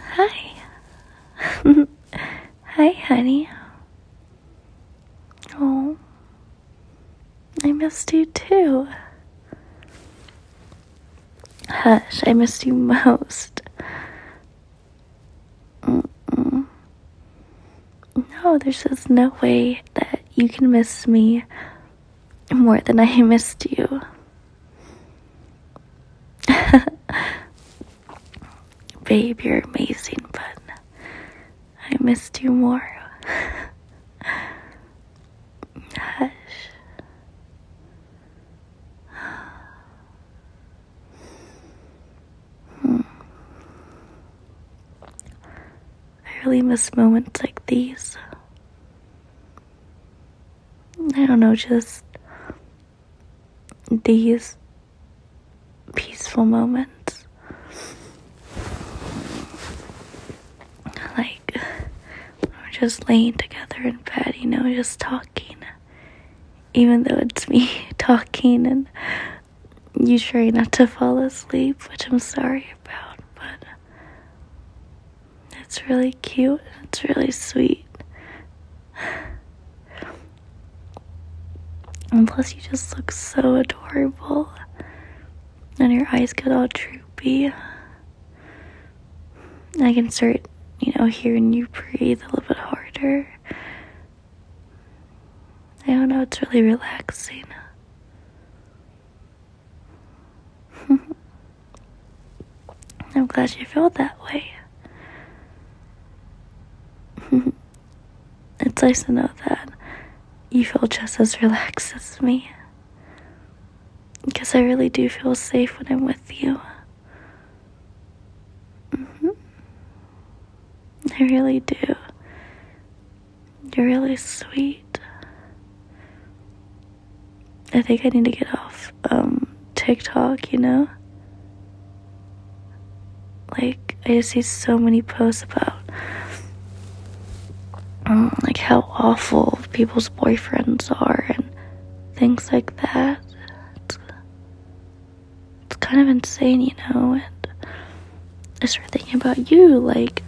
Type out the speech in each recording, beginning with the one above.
Hi. Hi, honey. Oh, I missed you too. Hush, I missed you most. No, there's just no way that you can miss me more than I missed you. Babe, you're amazing, but I missed you more. Hush. Hmm. I really miss moments like these. I don't know, just these peaceful moments. Like, we're just laying together in bed, you know, just talking. Even though it's me talking and you trying not to fall asleep, which I'm sorry about, but it's really cute. It's really sweet. And plus, you just look so adorable. And your eyes get all droopy. I can start, you know, hearing you breathe a little bit harder. I don't know, it's really relaxing. I'm glad you feel that way. it's nice to know that you feel just as relaxed as me. Because I really do feel safe when I'm with you. Mm-hmm. I really do. You're really sweet. I think I need to get off um, TikTok, you know? Like, I see so many posts about um, like how awful people's boyfriends are and things like that. It's, it's kind of insane, you know? And I start thinking about you, like,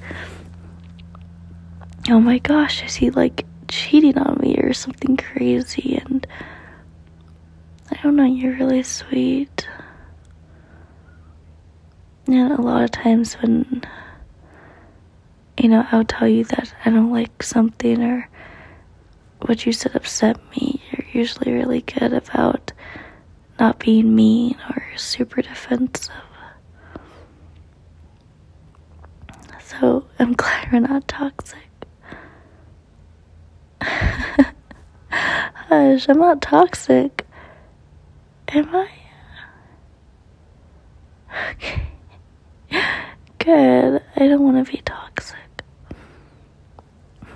oh my gosh, is he like cheating on me or something crazy? And I don't know, you're really sweet. And a lot of times when, you know, I'll tell you that I don't like something or what you said upset me, you're usually really good about not being mean or super defensive. So I'm glad we're not toxic. Hush, I'm not toxic. Am I? Okay. Good. I don't want to be toxic.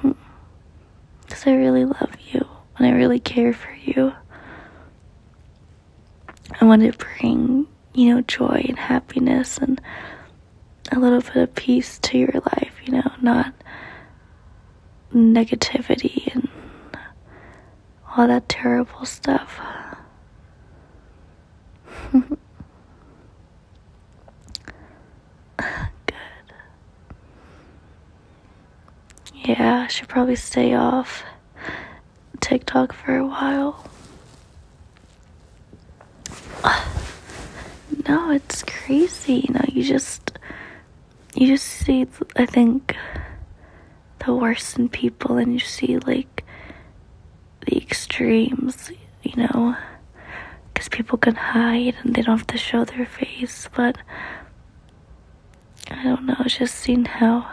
Because hmm. I really love you and I really care for you. I want to bring, you know, joy and happiness and a little bit of peace to your life, you know, not negativity and all that terrible stuff. Good. Yeah, should probably stay off TikTok for a while. No, it's crazy. No, you just you just see I think the worst in people and you see like the extremes, you know, cuz people can hide and they don't have to show their face, but I don't know, just seeing how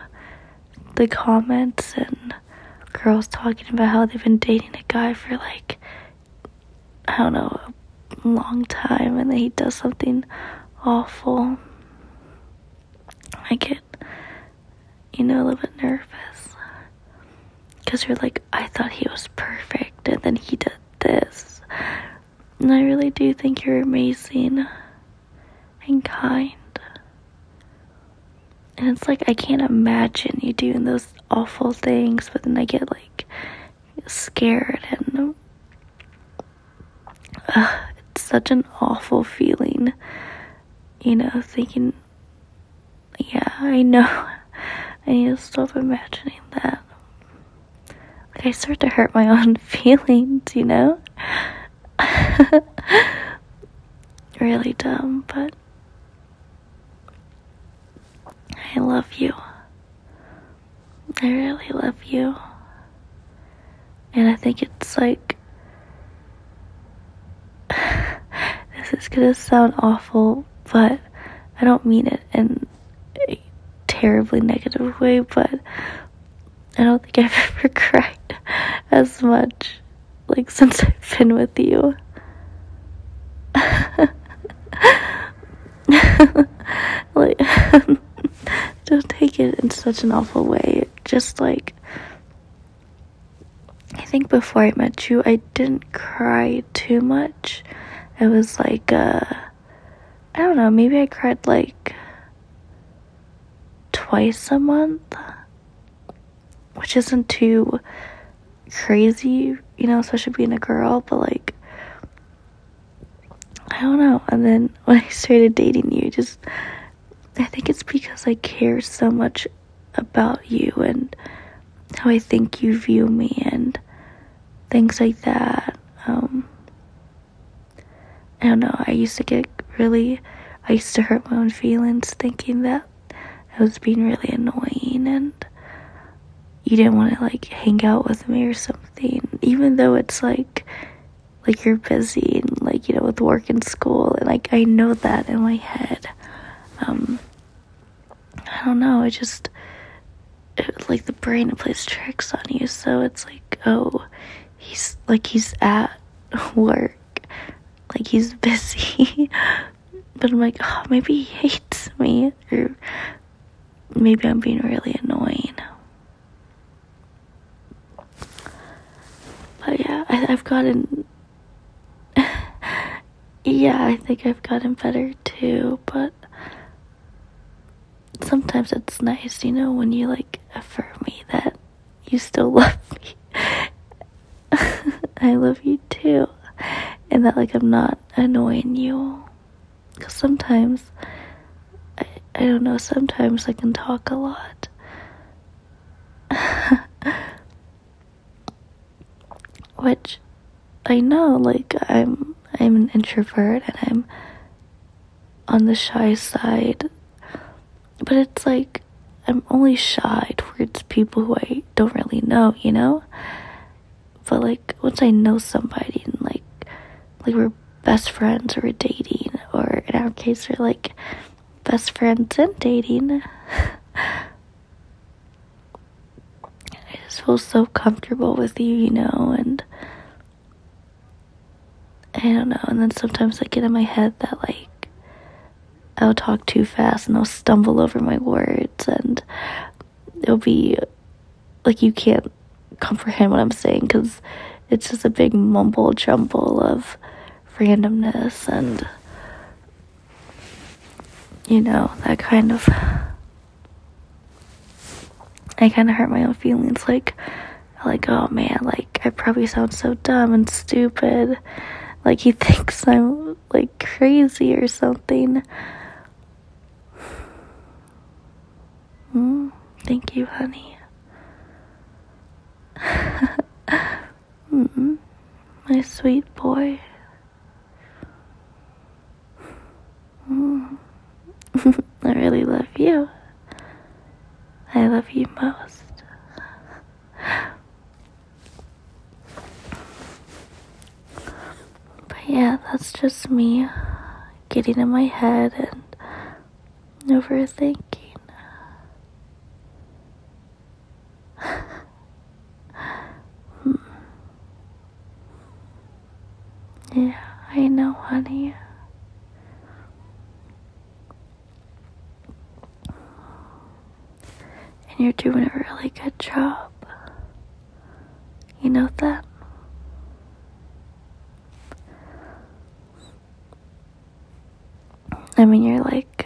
the comments and girls talking about how they've been dating a guy for like, I don't know, a long time and then he does something awful. I get, you know, a little bit nervous. Because you're like, I thought he was perfect and then he did this. And I really do think you're amazing and kind. And it's like I can't imagine you doing those awful things, but then I get like scared and uh, it's such an awful feeling, you know, thinking, yeah, I know. I need to stop imagining that. Like, I start to hurt my own feelings, you know? really dumb, but I love you. I really love you. And I think it's like, this is gonna sound awful, but I don't mean it in a terribly negative way, but I don't think I've ever cried as much like since I've been with you. like don't take it in such an awful way. Just like I think before I met you, I didn't cry too much. It was like uh I don't know, maybe I cried like twice a month, which isn't too crazy, you know, especially being a girl, but like, I don't know. And then when I started dating you, just, I think it's because I care so much about you and how I think you view me and things like that. Um, I don't know, I used to get really, I used to hurt my own feelings thinking that I was being really annoying and you didn't want to like hang out with me or something, even though it's like, like you're busy and like, you know, with work and school. And like, I know that in my head. Um, I don't know, it just, like the brain plays tricks on you. So it's like, oh, he's like he's at work like he's busy but i'm like oh, maybe he hates me or maybe i'm being really annoying but yeah I, i've gotten yeah i think i've gotten better too but sometimes it's nice you know when you like affirm me that you still love me. I love you too. And that, like, I'm not annoying you. Because sometimes, I, I don't know, sometimes I can talk a lot. Which I know, like, I'm I'm an introvert and I'm on the shy side. But it's like I'm only shy towards people who I don't really know, you know? But like once I know somebody and like like we're best friends or we're dating or in our case we're like best friends and dating I just feel so comfortable with you, you know, and I don't know. And then sometimes I get in my head that like I'll talk too fast and I'll stumble over my words and it'll be like you can't comprehend what I'm saying because it's just a big mumble jumble of randomness and you know that kind of I kind of hurt my own feelings like like, oh man, like, I probably sound so dumb and stupid. Like, he thinks I'm, like, crazy or something. Mm, thank you, honey. mm -mm, my sweet boy. Mm. I really love you. I love you most. But yeah, that's just me getting in my head and overthinking. Yeah, I know, honey. And you're doing a really good job. You know that? I mean, you're like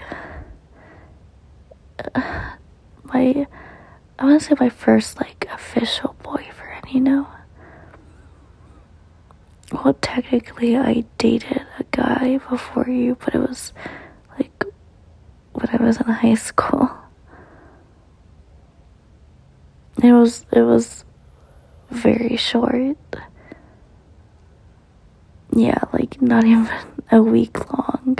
my, I want to say my first like official boyfriend, you know? well, technically, I dated a guy before you, but it was like when I was in high school. It was it was very short. Yeah, like not even a week long.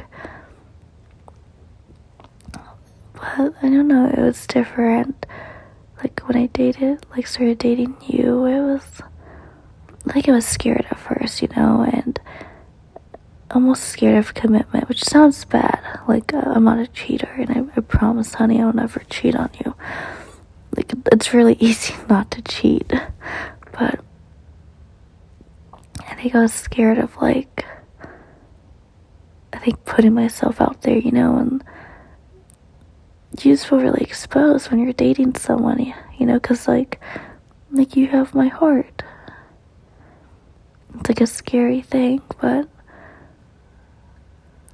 But I don't know, it was different like when I dated, like started dating you, it was like I was scared at first, you know, and almost scared of commitment, which sounds bad. Like, uh, I'm not a cheater, and I promise, honey, I'll never cheat on you. Like, it's really easy not to cheat, but I think I was scared of, like, I think putting myself out there, you know, and you feel really exposed when you're dating someone, you know, because like, like you have my heart. It's like a scary thing, but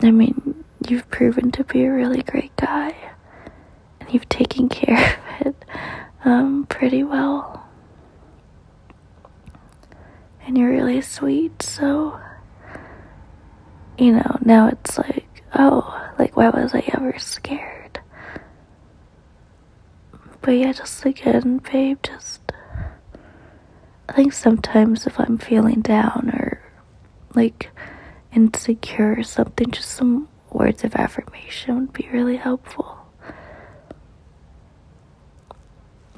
I mean, you've proven to be a really great guy, and you've taken care of it um, pretty well, and you're really sweet, so you know, now it's like, oh, like, why was I ever scared? But yeah, just again, babe, just. I think sometimes if I'm feeling down or like insecure or something, just some words of affirmation would be really helpful.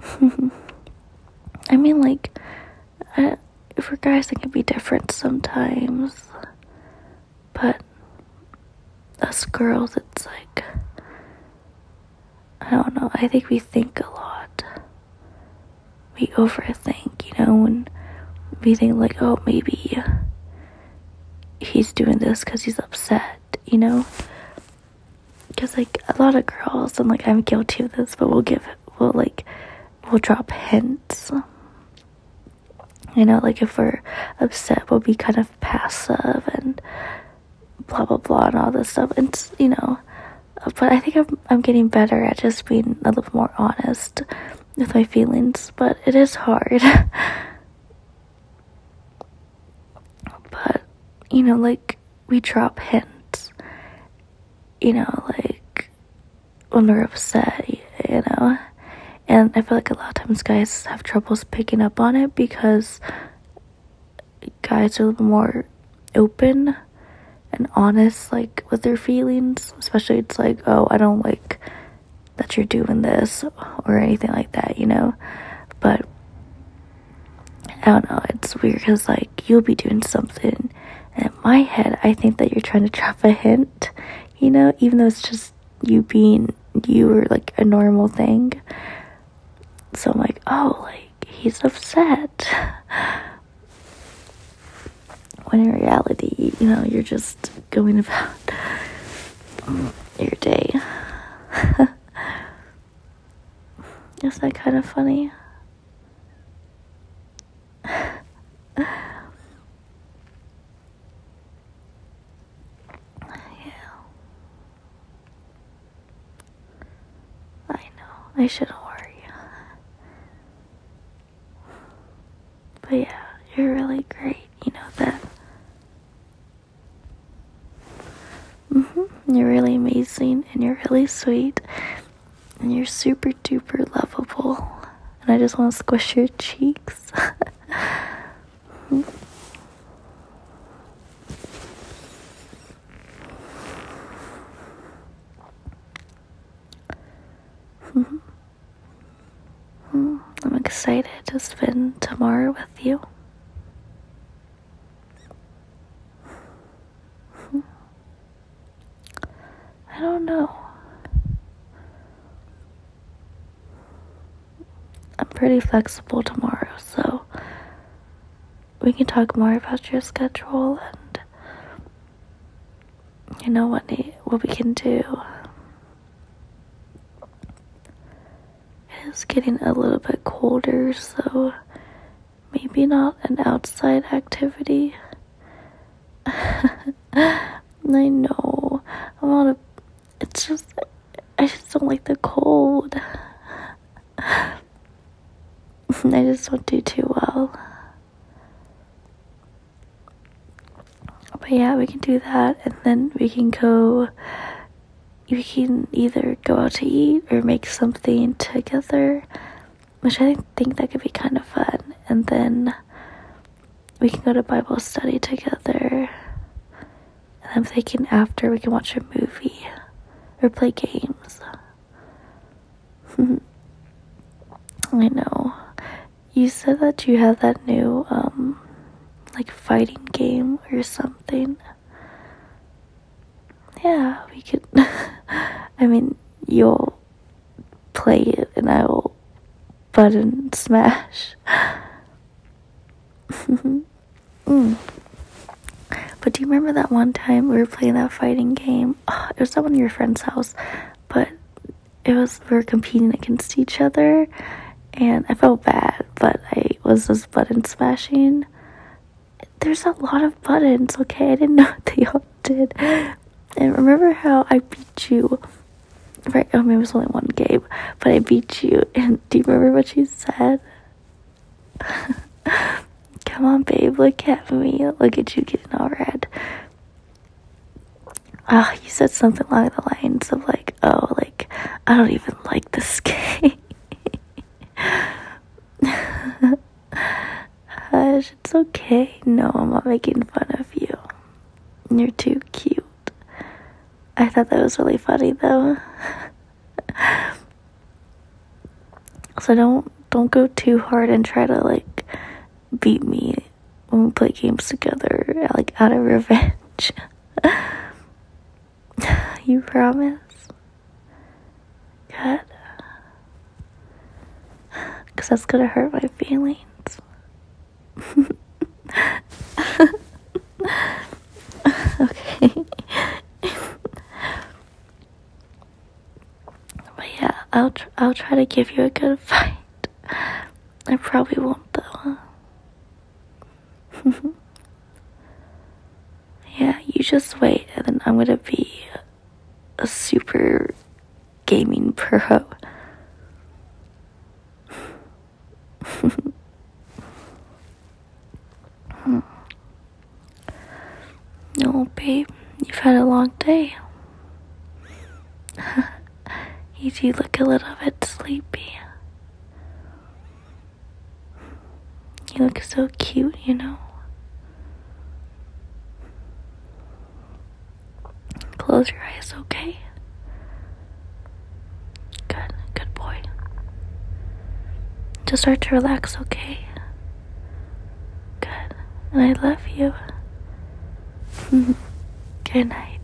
I mean, like, uh, for guys, it can be different sometimes. But us girls, it's like, I don't know. I think we think a lot. We overthink, you know, and we think, like, oh, maybe he's doing this because he's upset, you know? Because, like, a lot of girls, I'm like, I'm guilty of this, but we'll give we will like we will drop hints. You know, like if we're upset, we'll be kind of passive and blah blah blah and all this stuff. And you know, but I think I'm I'm getting better at just being a little more honest with my feelings. But it is hard. but you know, like we drop hints. You know, like when we're upset, you know. And I feel like a lot of times guys have troubles picking up on it because guys are a little more open and honest, like with their feelings. Especially, it's like, oh, I don't like that you're doing this or anything like that, you know. But I don't know, it's weird because, like, you'll be doing something in my head, I think that you're trying to drop a hint, you know, even though it's just you being you or like a normal thing. So I'm like, oh, like he's upset. When in reality, you know, you're just going about your day. Isn't that kind of funny? yeah. I know, I shouldn't worry. But yeah, you're really great, you know that. hmm You're really amazing and you're really sweet. And you're super duper lovable. And I just want to squish your cheeks. I'm excited to spend tomorrow with you. I don't know. I'm pretty flexible tomorrow, so we can talk more about your schedule and you know what what we can do. It is getting a little bit colder, so maybe not an outside activity. I know. I'm not a. It's just. I just don't like the cold. I just don't do too well. But yeah, we can do that and then we can go. We can either go out to eat or make something together which I think that could be kind of fun. And then we can go to Bible study together. And I'm thinking after we can watch a movie or play games. I know. You said that you have that new, um, like fighting game or something. Yeah, we could. I mean, you'll play it and I will button smash. Hmm. But do you remember that one time we were playing that fighting game? Ah, it was at one of your friend's house, but it was we were competing against each other, and I felt bad, but I was just button smashing. There's a lot of buttons, okay? I didn't deal. did. And remember how I beat you? Right? Oh, mean it was only one game, but I beat you. And do you remember what she said? Come on, babe, look at me. Look at you getting all red. Ah, oh, you said something along the lines of like, oh, like I don't even like this game. Hush it's okay. No, I'm not making fun of you. You're too cute. I thought that was really funny though. so don't don't go too hard and try to like beat me when we play games together like out of revenge. you promise? Good. Because that's going to hurt my feelings. okay. but yeah, I'll, I'll try to give you a good fight. I probably won't though. yeah, you just wait and then I'm gonna be uh, a super gaming pro. no, babe, you've had a long day. you do look a little bit sleepy. You look so cute, you know. Close your eyes, okay? Good, good boy. Just start to relax, okay? Good. And I love you. good night.